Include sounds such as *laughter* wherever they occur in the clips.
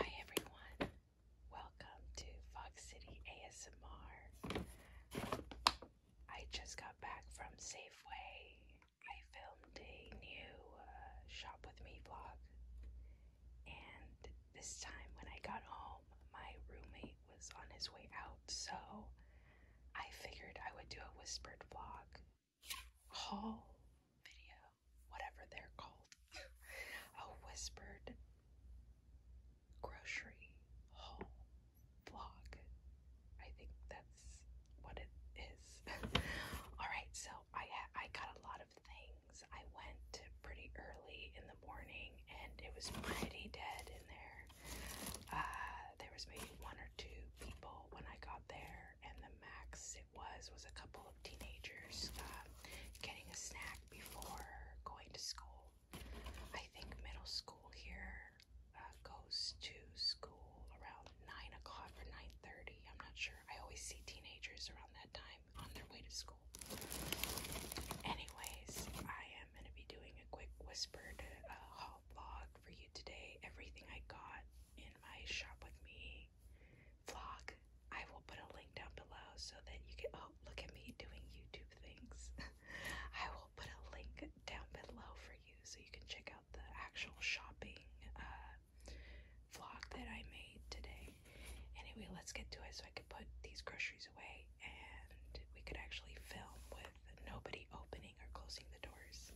Hi everyone, welcome to Fox City ASMR. I just got back from Safeway. I filmed a new uh, Shop With Me vlog, and this time when I got home, my roommate was on his way out, so I figured I would do a whispered vlog haul video, whatever they're called, a whispered grocery haul vlog. I think that's what it is. *laughs* All right, so I I got a lot of things. I went pretty early in the morning, and it was pretty dead in there. Uh, there was maybe one or or two people when I got there, and the max it was was a couple of teenagers um, getting a snack before going to school. I think middle school here uh, goes to school around nine o'clock or nine thirty. I'm not sure. I always see teenagers around that time on their way to school. Anyways, I am gonna be doing a quick whispered uh, haul vlog for you today. Everything I got in my shop with me vlog. I will put a link down below so that you can oh look at me doing YouTube things. *laughs* I will put a link down below for you so you can check out the actual shopping uh, vlog that I made today. Anyway, let's get to it so I could put these groceries away and we could actually film with nobody opening or closing the doors.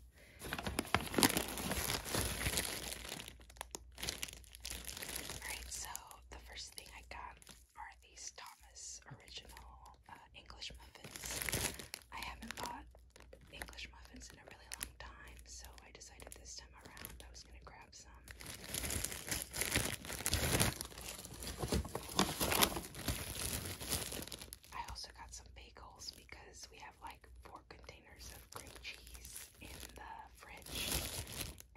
Alright, so the first thing I got are these Thomas Original uh, English muffins. I haven't bought English muffins in a really long time, so I decided this time around I was going to grab some. I also got some bagels because we have like four containers of great cheese in the fridge,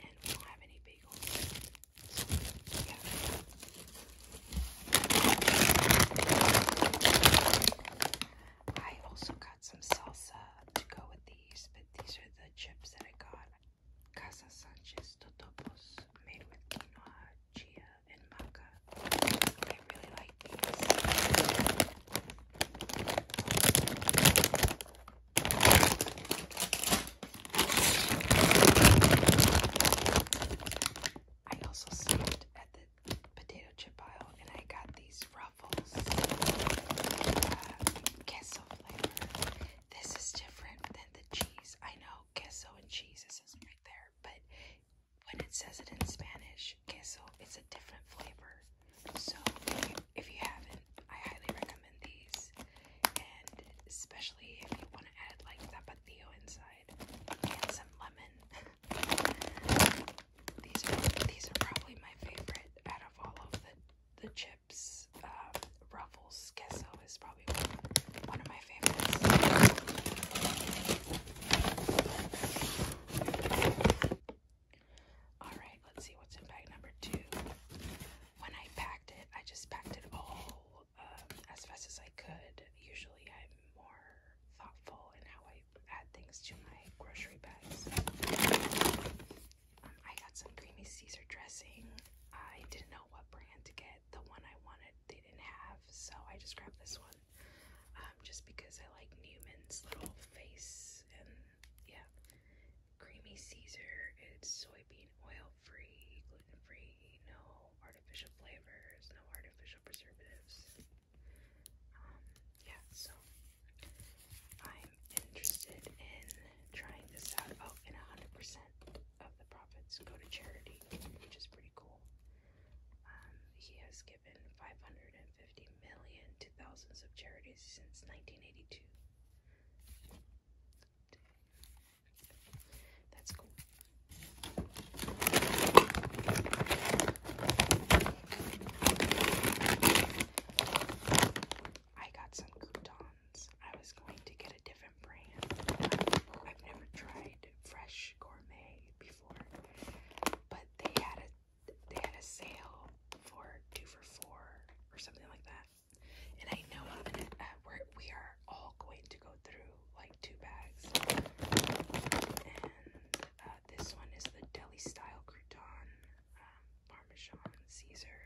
and don't have any bagels. I also got some salsa to go with these, but these are the chips that I got. Casa Sanchez Totopos made with quinoa, chia, and maca. I really like these. I also stopped at the potato chip aisle and I got these ruffles. Uh, queso flavor. This is different than the cheese. I know queso and cheese is not right there, but when it says it in Spanish, queso, it's a different flavor. So if you, haven't, I highly recommend these. And especially if you want to add like tapatio inside and some lemon. *laughs* these are probably my favorite out of all of the chips. Um, Ruffles queso is probably one of my favorites. Alright, let's see what's in bag number two. When I packed it, I just packed it all um, as fast as I could. Usually I'm more thoughtful in how I add things to my grocery bags. Um, I got some creamy Caesar dressing. I didn't know what brand to get. The one I wanted, they didn't have, so I just grabbed this one um, just because I like Newman's little face and yeah. Creamy Caesar, it's soybean oil free, gluten free, no artificial flavors, no artificial preservatives. Um, yeah, so I'm interested in trying this out. Oh, and 100% of the profits go to charity, which is pretty cool. Um, he has given $550 million of charities since 1982. That's cool. I got some croutons. I was going to get a different brand. I've never tried Fresh Gourmet before, but they had a they had a sale for two for four or something like that. And I know I'm gonna, uh, we're, we are all going to go through like two bags. And uh, this one is the deli style crouton, um, Parmesan Caesar.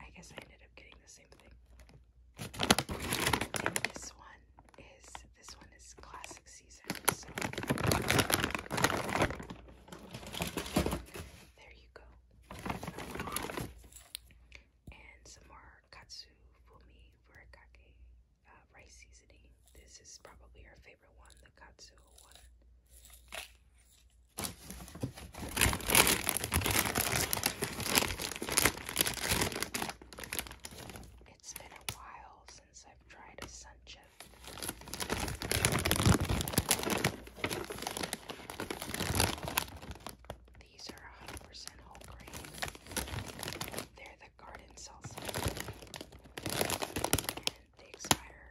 I guess I ended up getting the same thing. this one is this one is classic season. there you go. And some more katsu fumi furikake uh, rice seasoning. This is probably our favorite one, the katsu one. It's been a while I've tried a sun chip. These are 100% whole grain. They're the garden salsa. they expire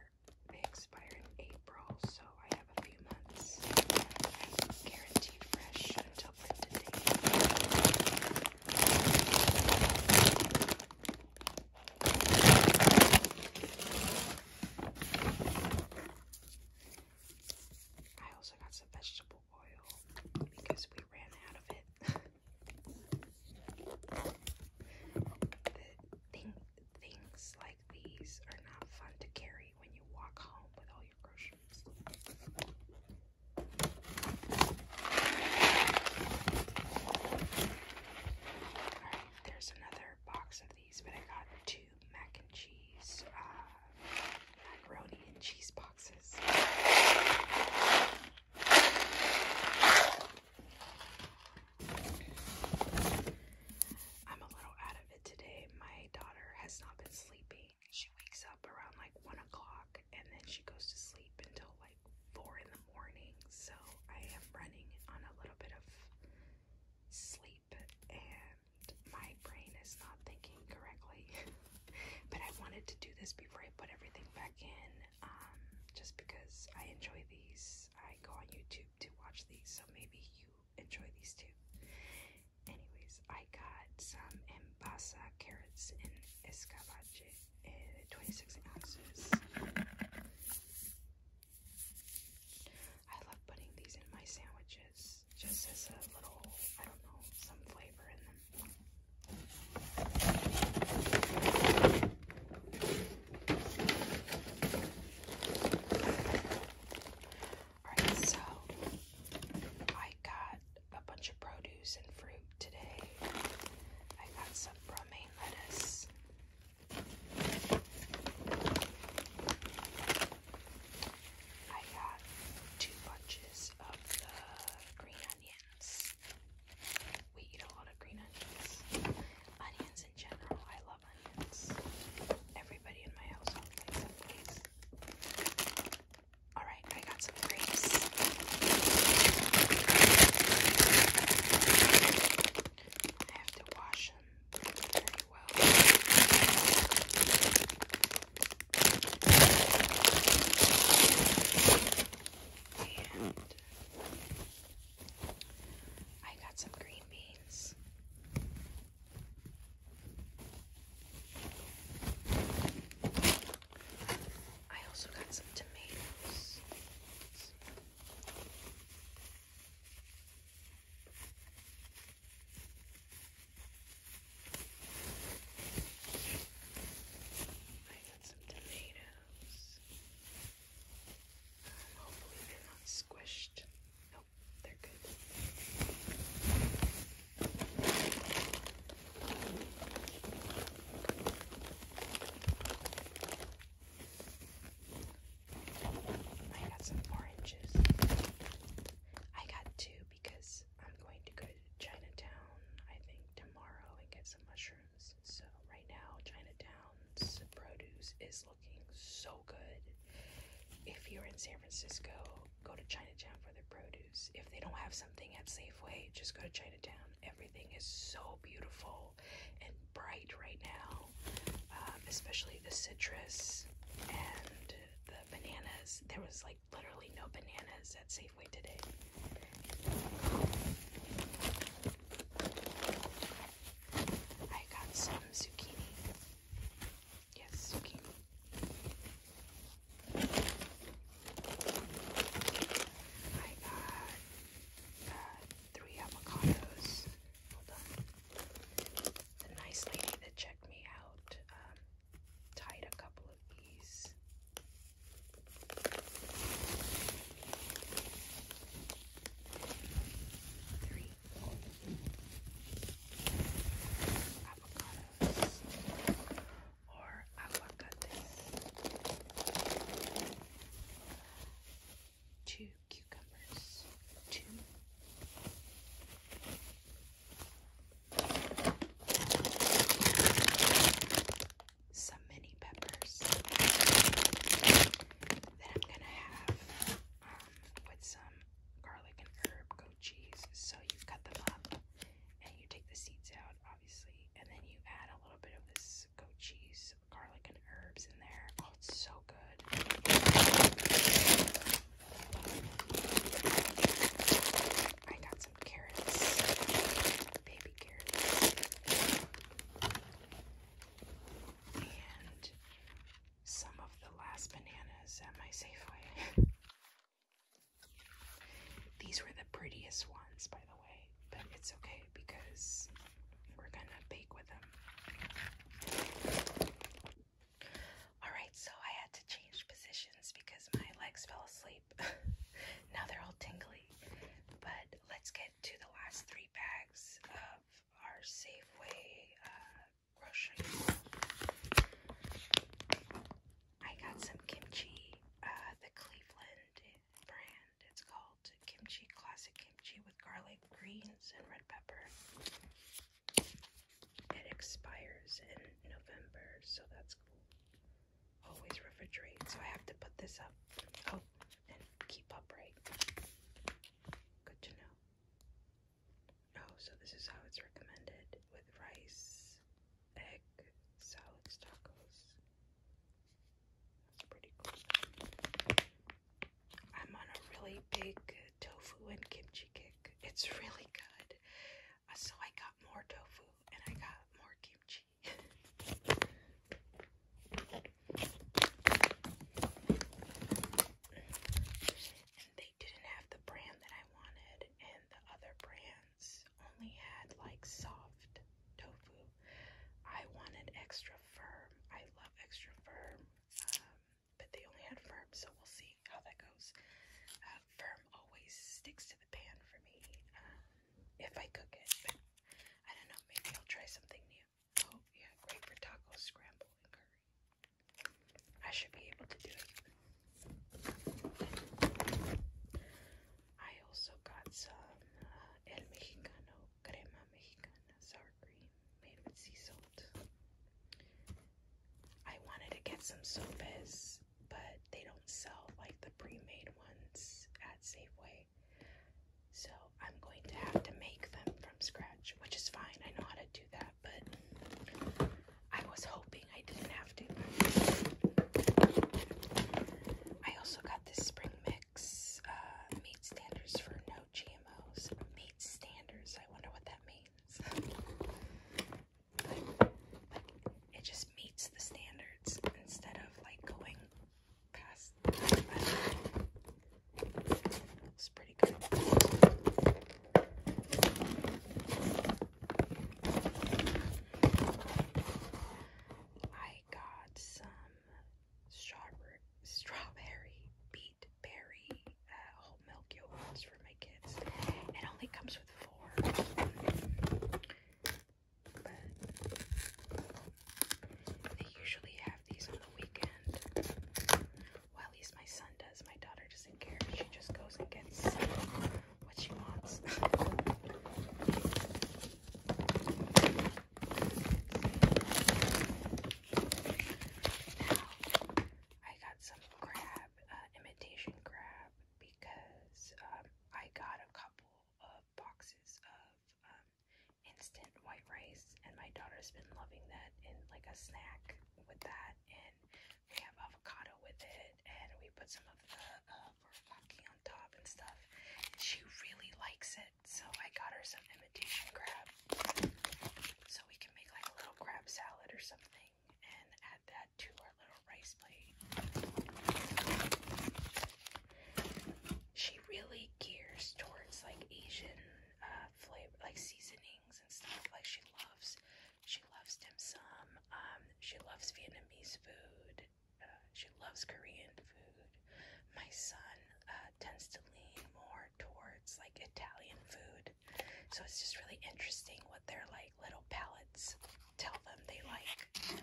they expire in April, so I have a few months. i fresh until printed I also got some vegetable oil because we ran out of it. *laughs* things like these are not fun to carry when you walk home with all your groceries. Alright, there's another box of these, but I got two mac and cheese, uh, macaroni and cheese boxes. I'm a little out of it today. My daughter has not been sleeping. She wakes up around like 1 o'clock and then she goes to sleep until like four in the morning, so I am running on a little bit of sleep and my brain is not thinking correctly. *laughs* but I wanted to do this before I put everything back in, um, just because I enjoy these. I go on YouTube to watch these, so maybe you enjoy these too. Anyways, I got some Basa carrots and escabeche, eh, 26 ounces. I love putting these in my sandwiches just as a little, I don't know, some flavor in them. Alright, so I got a bunch of produce and fruit today. I got some romaine lettuce. I got two bunches of the green onions. We eat a lot of green onions. Onions in general, I love onions. Everybody in my household likes onions. All right, I got some grapes. I have to wash them well. And I got some green beans. I also got some tomatoes. I got some tomatoes. Um, hopefully they're not squished. Nope, they're good. I got some oranges. I got two because I'm going to go to Chinatown, I think, tomorrow and get some mushrooms. So, right now, Chinatown's produce is looking so good. If you're in San Francisco, go to Chinatown for the produce. If they don't have something at Safeway, just go to Chinatown. Everything is so beautiful and bright right now, um, especially the citrus and the bananas. There was like literally no bananas at Safeway today. I got some zucchini. Yes, zucchini. I got three avocados. Hold on. The nice lady that checked me out um, tied a couple of these. Three avocados or aguacate. Two cucumbers. Two. Some mini peppers that I'm gonna have um, with some garlic and herb goat cheese. So you cut them up and you take the seeds out, and then you add a little bit of this goat cheese, garlic, and herbs in there. Oh, it's so good. I got some carrots, baby carrots, and some of the last bananas at my Safeway. *laughs* These were the prettiest ones, by the way, but it's okay because we're gonna bake with them. Alright, so I had to change positions because my legs fell asleep. *laughs* now they're all tingly. But let's get to the last three bags of our Safeway uh, grocery. I got some kimchi, uh, the Cleveland brand. It's called Kimchi Classic Kimchi with garlic, greens, and red pepper. It expires in November, so that's cool. Always refrigerate, so I have to put this up. Oh, and keep upright. Good to know. Oh, so this is how it's recommended with rice, egg, salads, tacos. That's pretty cool. I'm on a really big tofu and kimchi kick. It's really good. Uh, so I got more tofu and I got more kimchi. *laughs* they didn't have the brand that I wanted, and the other brand Ben's only had like soft tofu. I wanted extra firm. I love extra firm, um, but they only had firm, so we'll see how that goes. Uh, firm always sticks to the pan for me um, if I cook it. I don't know, maybe I'll try something new. Oh, yeah, great for tacos, scramble, and curry. I should be able to do it. I also got some uh, El Mexicano crema mexicana sour cream made with sea salt. I wanted to get some sopes, but they don't sell like the pre-made ones at Safeway. So I'm going to have to make them from scratch, which is fine. I know how to do that, but I was hoping I didn't have to. I also got this spring mix uh, meat standards for no GMOs. Meat standards. I wonder what that means. but, it just meets the standards instead of like going past. It's pretty good. I got some strawberry, strawberry beet berry uh, whole milk yogurts for my kids. It only comes with four. But they usually have these on the weekend. at least my son does. My daughter doesn't care. She just goes and gets what she wants. I got some crab, uh, imitation crab, because um, I got a couple of boxes of um, instant white rice, and my daughter's been loving that in like a snack with that, and we have avocado with it, and we put some of the um, for monkey on top and stuff. she really likes it, so I got her some imitation crab. So we can make like a little crab salad or something and add that to our little rice plate. She really gears towards like Asian uh, flavor, like seasonings and stuff. Like she loves, she loves dim sum. Um, she loves Vietnamese food. Uh, she loves Korean food. My son uh, tends to lean more towards like Italian food, so it's just really interesting what their like little palates tell them they like.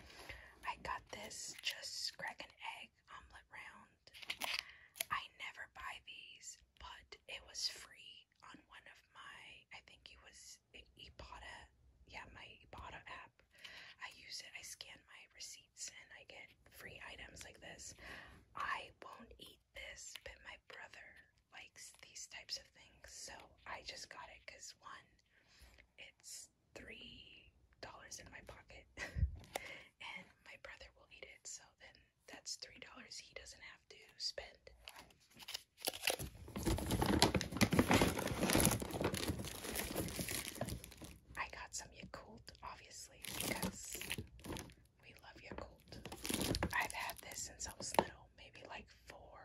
I got this just crack and egg omelet round. I never buy these, but it was free on one of my. I think it was an Ibotta, yeah, my Ibotta app. I use it. I scan my receipts and I get free items like this. I won't eat this, but my brother likes these types of things, so I just got it because one, it's three dollars in my pocket, *laughs* and my brother will eat it. So then that's three dollars he doesn't have to spend. I got some Yakult, obviously, because we love Yakult. I've had this since I was little, maybe like four,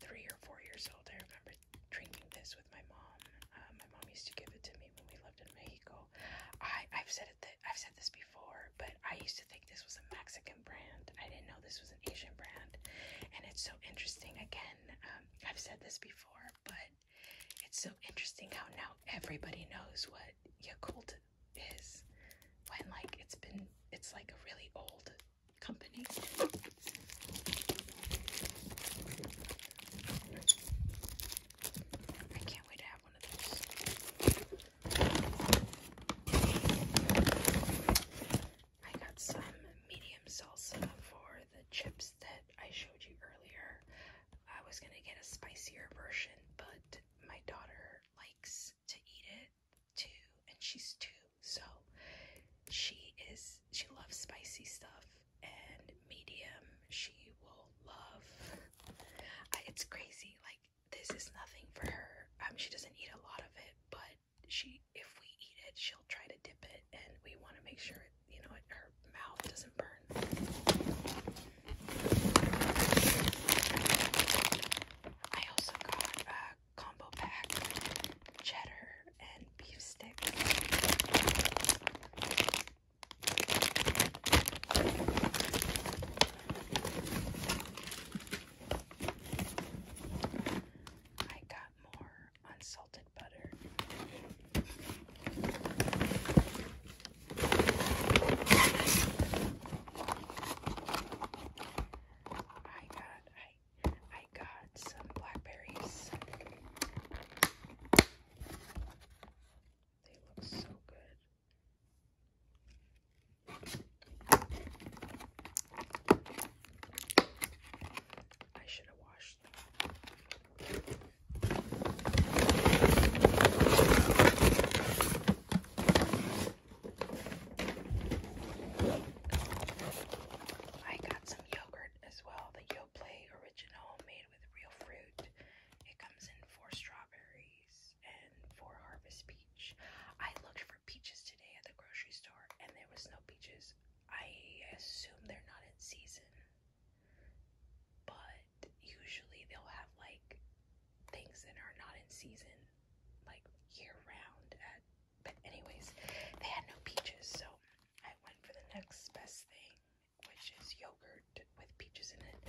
three or four years old. I remember drinking this with my mom. Uh, my mom used to give it to me when we lived in Mexico. I, I've said it, I've said this before, but I used to think this was a Mexican brand. I didn't know this was an Asian brand. And it's so interesting. Again, um, I've said this before, but it's so interesting how now everybody knows what Yakult is when, like, it's been, it's like a really old company. I can't wait to have one of those. I got some medium salsa for the chips that I showed you earlier. I was gonna get a spicier version, but my daughter likes to eat it too, and she's two, so she is she loves spicy stuff and medium she will love. it's crazy, like this is nothing for her. Um, she doesn't eat a lot of it, but she if we eat it, she'll try to dip it, and we want to make sure it, you know her mouth doesn't burn. I also got a combo pack cheddar and beef sticks. I got more unsalted butter. I got I I got some blackberries. They look so good. I should have washed them. I got some yogurt as well, the Yoplait original made with real fruit. It comes in four strawberries and four harvest peaches. I looked for peaches today at the grocery store and there was no peaches. I assume they're not in season. But usually they'll have like things that are not in season like year round but anyways, they had no peaches, so I went for the next best thing, which is yogurt with peaches in it.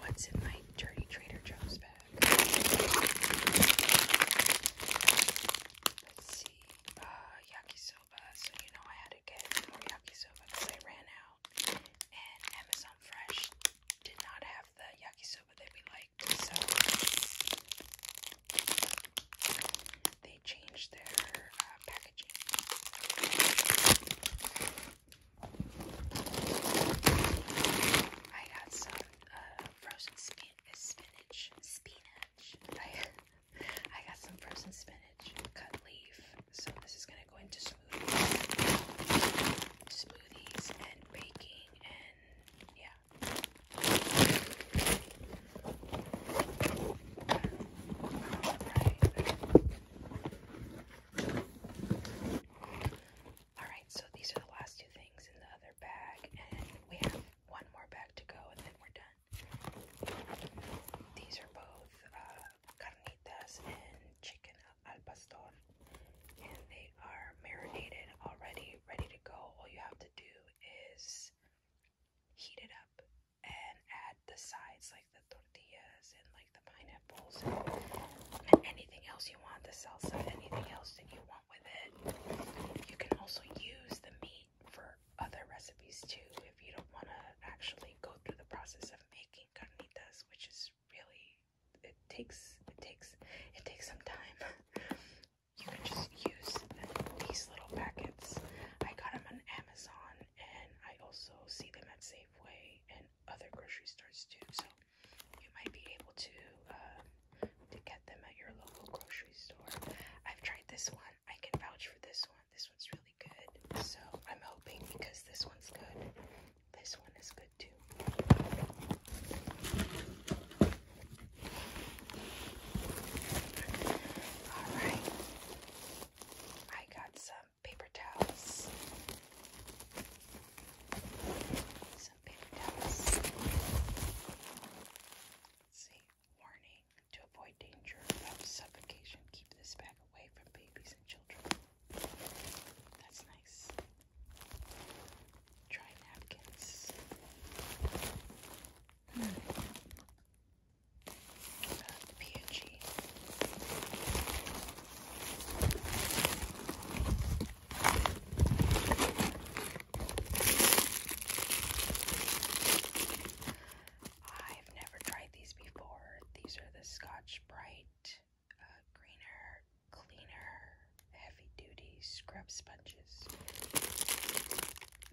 What's in my dirty Trader Joe's bag? Let's see. Uh, yakisoba. So, you know, I had to get more yakisoba because I ran out. And Amazon Fresh did not have the yakisoba that we liked. So, they changed their uh, packaging. I got some uh, frozen uh, spinach. Spinach. *laughs* I, got some frozen spinach cut leaf. So this is gonna go into smoothies, smoothies and baking and yeah. Alright, so these are the last two things in the other bag, and we have one more bag to go, and then we're done. These are both uh, carnitas and chicken al pastor, and they are marinated already, ready to go. All you have to do is heat it up and add the sides, like the tortillas and like the pineapples and anything else you want, the salsa, anything else that you want with it. You can also use the meat for other recipes too if you don't want to actually go through the process of making carnitas, which is really it takes it takes it takes some time. you can just use the, these little packets. I got them on Amazon and I also see them at Safeway and other grocery stores too. So you might be able to um, to get them at your local grocery store. I've tried this one. I can vouch for this one. This one's really good. So I'm hoping because this one's good, this one is good too. All right. I got some paper towels some paper towels. Let's see. Warning to avoid danger of suffocation. Keep this bag away from babies and children. That's nice. Try napkins. Hmm. Uh, PNG. I've never tried these before. These are the Scotch Brite uh, Greener, Cleaner, Heavy Duty Scrub Sponges.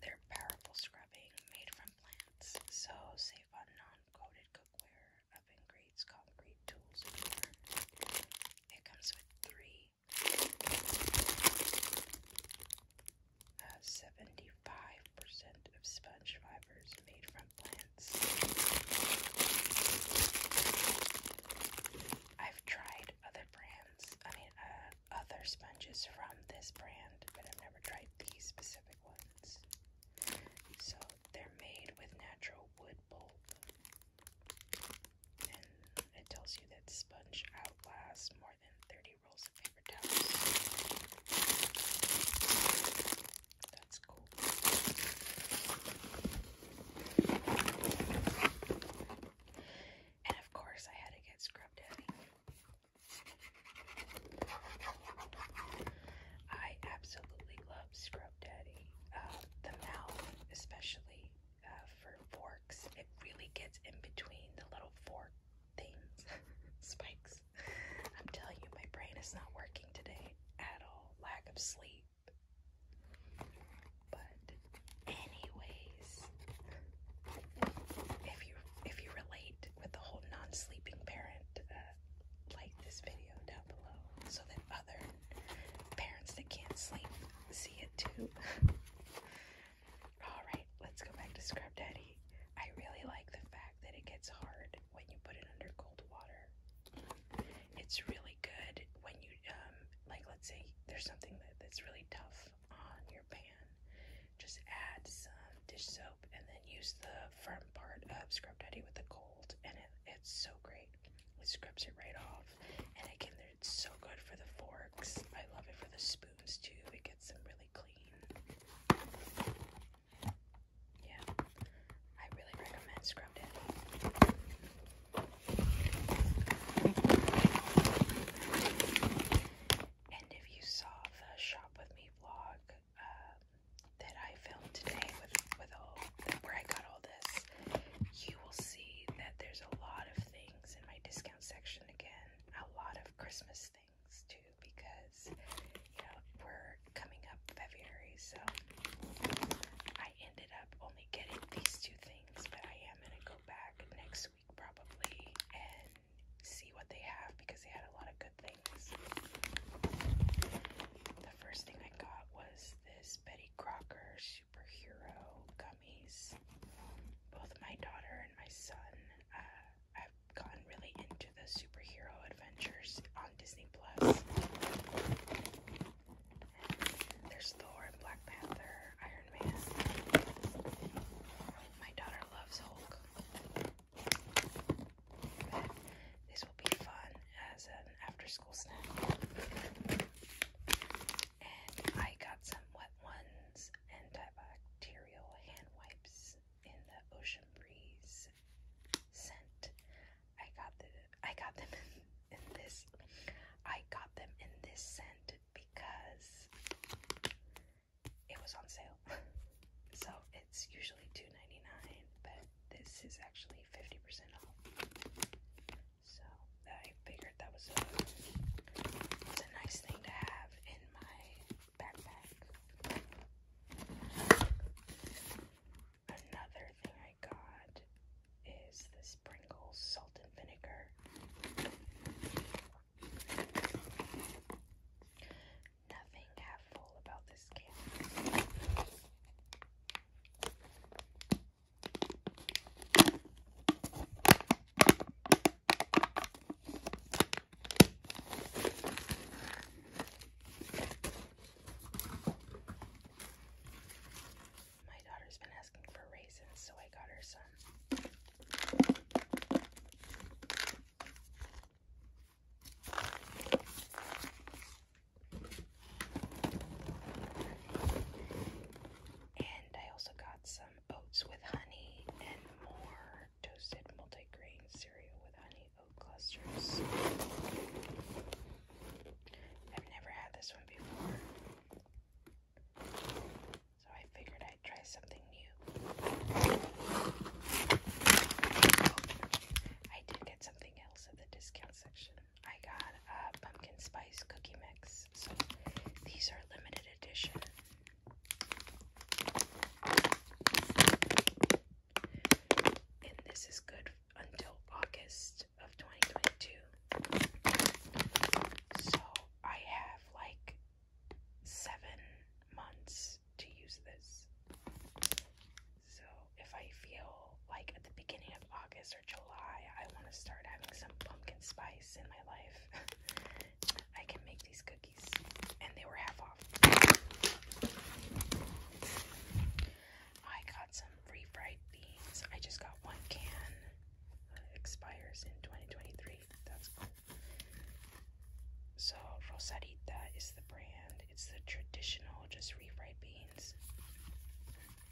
They're powerful scrubbing made from plants, so safe on non coated cookware grades concrete tools It comes with three uh, 75% of sponge fibers made from plants. I've tried other brands, I mean, uh, other sponges from this brand, but I've never tried these specific ones. So they're made with natural wood it tells you that sponge outlasts more than 30 rolls of paper towels. That's cool. And of course, I had to get Scrub I absolutely love um, scrub Daddy. Uh, the mouth, especially uh, for forks, it really gets in between the little fork things, *laughs* spikes. I'm telling you, my brain is not working today at all. Lack of sleep. But, anyways, if you if you relate with the whole non-sleeping parent, uh, like this video down so that other parents that can't sleep see it too. *laughs* All right, let's go back to Scrub Daddy. I really like the fact that it gets hard when you put it under cold water. It's really good when you, um, like, let's say there's something that's really tough on your pan. Just add some dish soap and then use the firm part of Scrub Daddy with the cold, and it's so great. It scrubs it right off. And again, it's so good for the forks. I love it for the spoons too. It gets them really clean. Yeah, I really recommend Scrub And if you saw the Shop With Me vlog uh, that I filmed today with, with all where I got all this, you will see that there's a lot of things in my discount section again, a lot of Christmas things too, because you know we're coming up February, so I ended up only getting these two things, but I am gonna go back next week probably and see what they have because they had a lot of good things. The first thing I got was this Betty Crocker superhero gummies. Both my daughter and my son have uh, gotten really into the superhero adventures on Disney Plus. There's Thor and Black Panther, Iron Man. My daughter loves Hulk these will be fun as an after school snack. I got some wet ones antibacterial hand wipes in the ocean breeze scent. I got the I got them in, in this I got them in this scent because it was on sale. *laughs* so it's usually $2.99, but this is actually 50% off. So I figured that was a, nice thing to have in my backpack. Another thing I got is this Pringles salt and vinegar. Nothing half full about this can. My daughter's been asking for raisins, so I got her some. And I also got some oats with honey and more toasted multigrain cereal with honey oat clusters. I've never had this one before. So I figured I'd try something new. I did get something else at the discount section. I got a pumpkin spice cookie mix. So these are limited edition. And this is good until August of 2022. So I have like seven months to use this. So if I feel like at the beginning of August or July I want to start having some pumpkin spice in my life, *laughs* I can make these cookies. And they were half off. I got some refried beans. I just got one can. It expires in 2023. That's cool. So Rosarita is the brand it's the traditional just refried beans.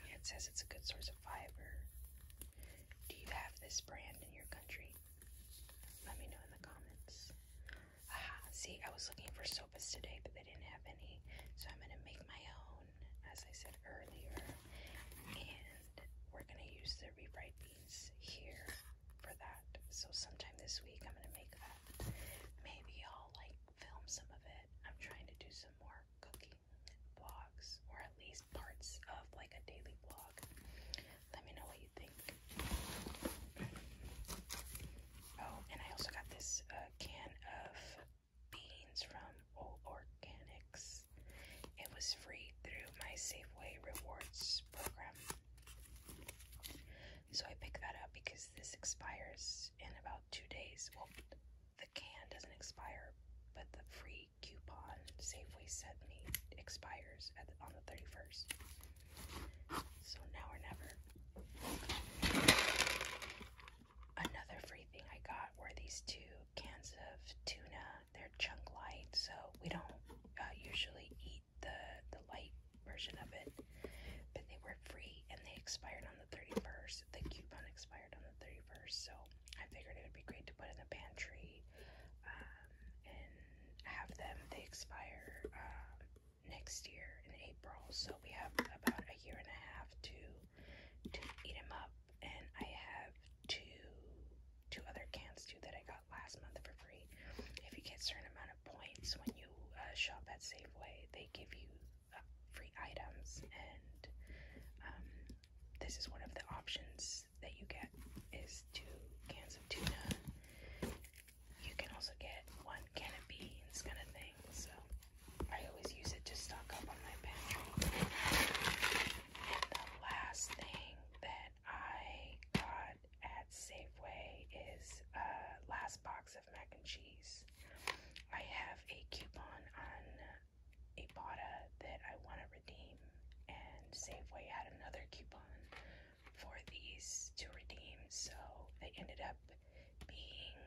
It says it's a good source of fiber. Do you have this brand in your country? Let me know in the comments. Ah, see, I was looking for sopas today, but they didn't have any, so I'm gonna make my own, as I said earlier. And we're gonna use the refried beans here for that. So sometime this week, I'm gonna make that. Maybe I'll like film some of it. I'm trying to do some more cooking vlogs, or at least parts of like a daily vlog. Let me know what you think. Oh, and I also got this uh, can of beans from Old Organics. It was free through my Safeway Rewards program. So I picked that up because this expires in about two days. Well, the can doesn't expire, but the free coupon Safeway sent me expires on the 31st. So now or never. Another free thing I got were these two cans of tuna. They're chunk light, so we don't uh, usually eat the the light version of it, but they were free and they expired on the 31st. The coupon expired on the 31st, so I figured it would be great to put in the pantry um, and have them. They expire um, next year in April, so we have about a year and a half to to eat them up. And I have two two other cans too that I got last month for free. If you get a certain amount of points when you uh, shop at Safeway, they give you uh, free items, and um, this is one of the options that you get is two cans of tuna. You can also get one can of beans, kind of thing. So I always use it to stock up on my pantry. And the last thing that I got at Safeway is uh, last box of mac and cheese. I have a coupon on a Ibotta that I want to redeem, and Safeway had another coupon for these to redeem, so they ended up being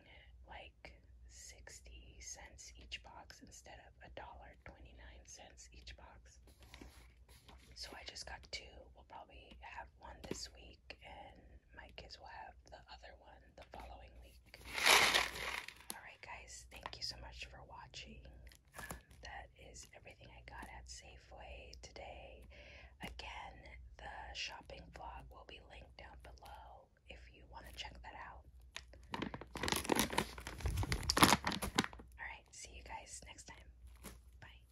like 60 cents each box instead of a dollar 29 cents each box. So I just got two. We'll probably have one this week and my kids will have the other one the following week. Alright, guys, thank you so much for watching. Um, that is everything I got at Safeway today. Again, the shopping vlog will be linked down below if you want to check that out. Alright, see you guys next time. Bye.